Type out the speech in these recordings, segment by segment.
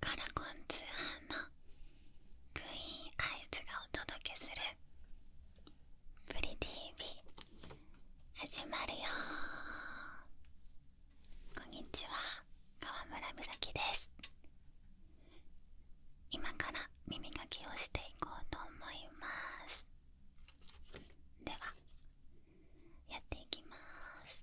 カラコン通販のクイーンアイズがお届けする「プリ TV」始まるよこんにちは川村美咲です今から耳かきをしていこうと思いますではやっていきます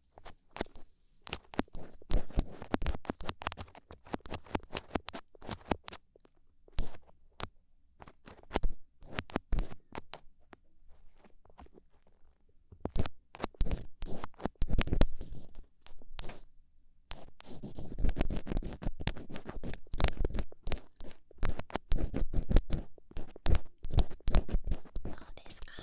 そうですか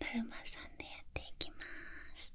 だるまさんでやっていきます。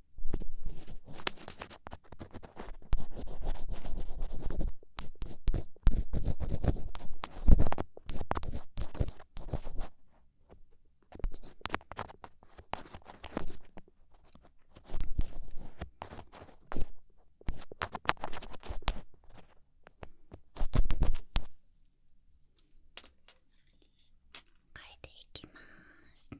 変えていきます。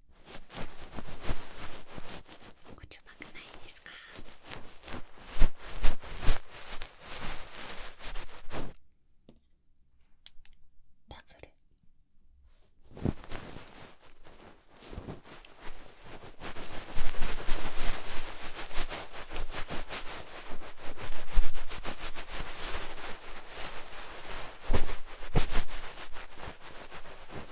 こっちうまくないですかダブルこ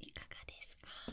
いかがですか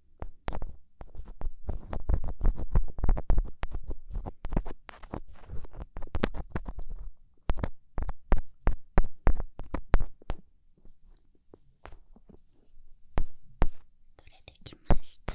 取れてきました。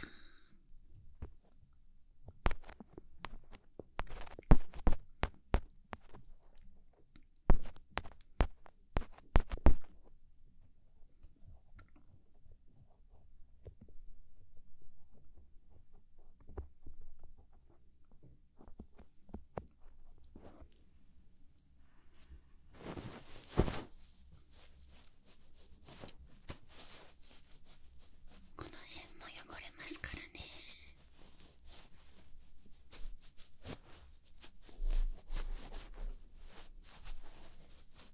この辺も汚れますからね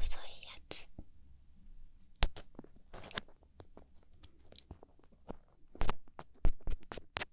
遅いやつ。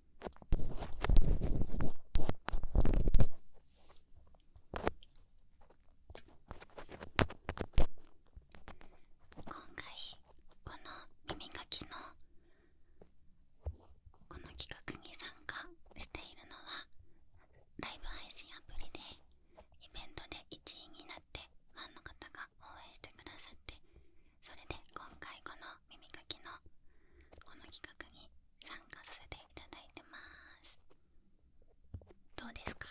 今回この耳かきのこの企画に参加しているのはライブ配信アプリでイベントで1位になってファンの方が応援してくださってそれで今回この耳かきのこの企画に参加させていただいてますどうですか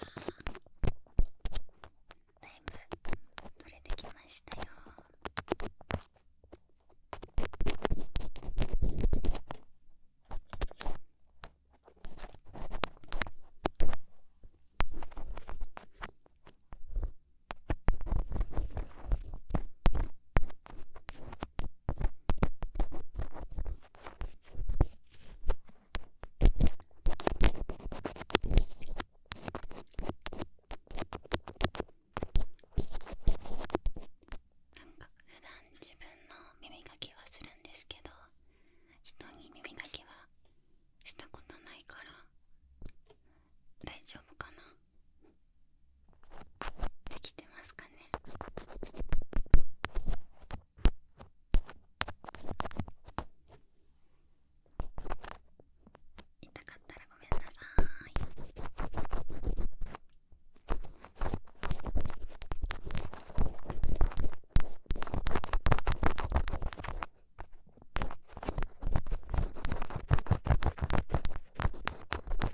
だいぶ取れてきましたよか普段自分の耳かきはするんですけど人に耳かきはしたことないから大丈夫かなできてますかね痛かったらごめんなさい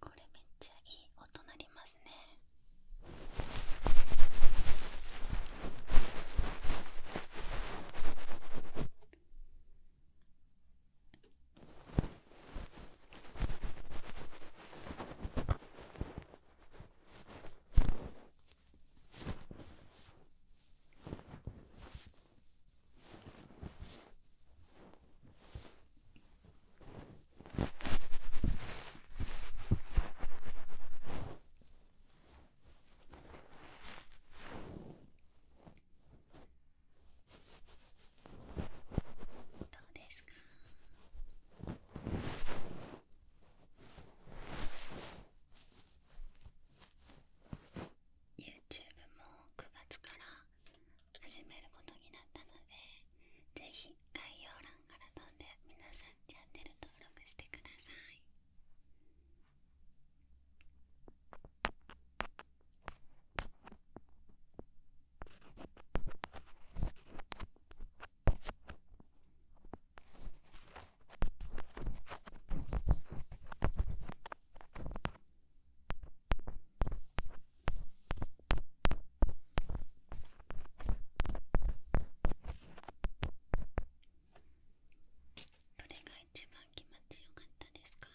これめっちゃいい音なりますねどうですか？YouTube も9月から始めることになったのでぜひ概要欄から飛んで皆さんチャンネル登録してくださいどれが一番気持ちよかったですか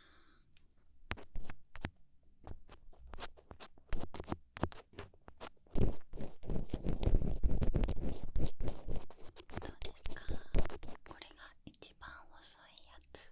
どうですかこれが一番細いやつ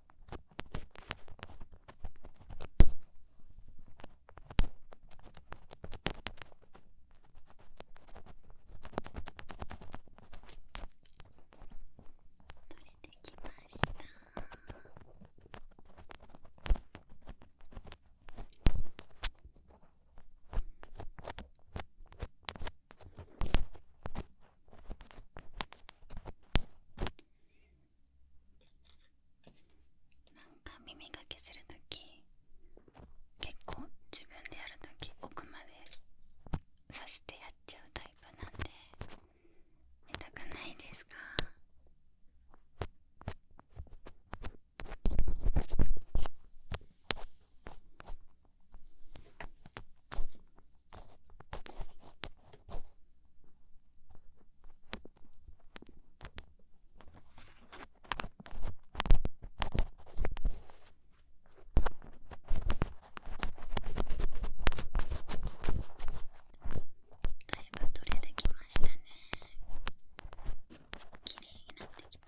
れてきましたなんか耳かけする時。結構自分でやる時奥まで刺してやっちゃうタイプなんでたくないですか耳ば取れてきましたね綺麗になってきた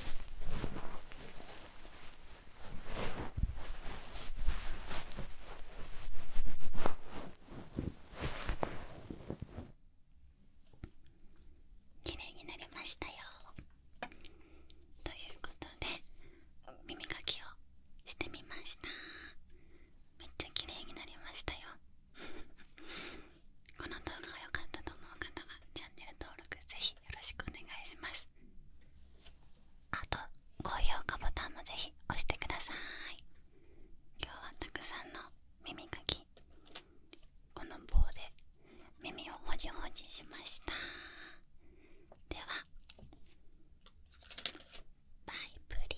綺麗になりましたよということで耳かきをしてみましためっちゃ綺麗になりましたよこの動画が良かったと思う方はチャンネル登録ぜひよろしくお願いしますあと高評価ボタンもぜひ押してください今日はたくさんの耳かきこの棒で耳をほじほじしましたではバイプリー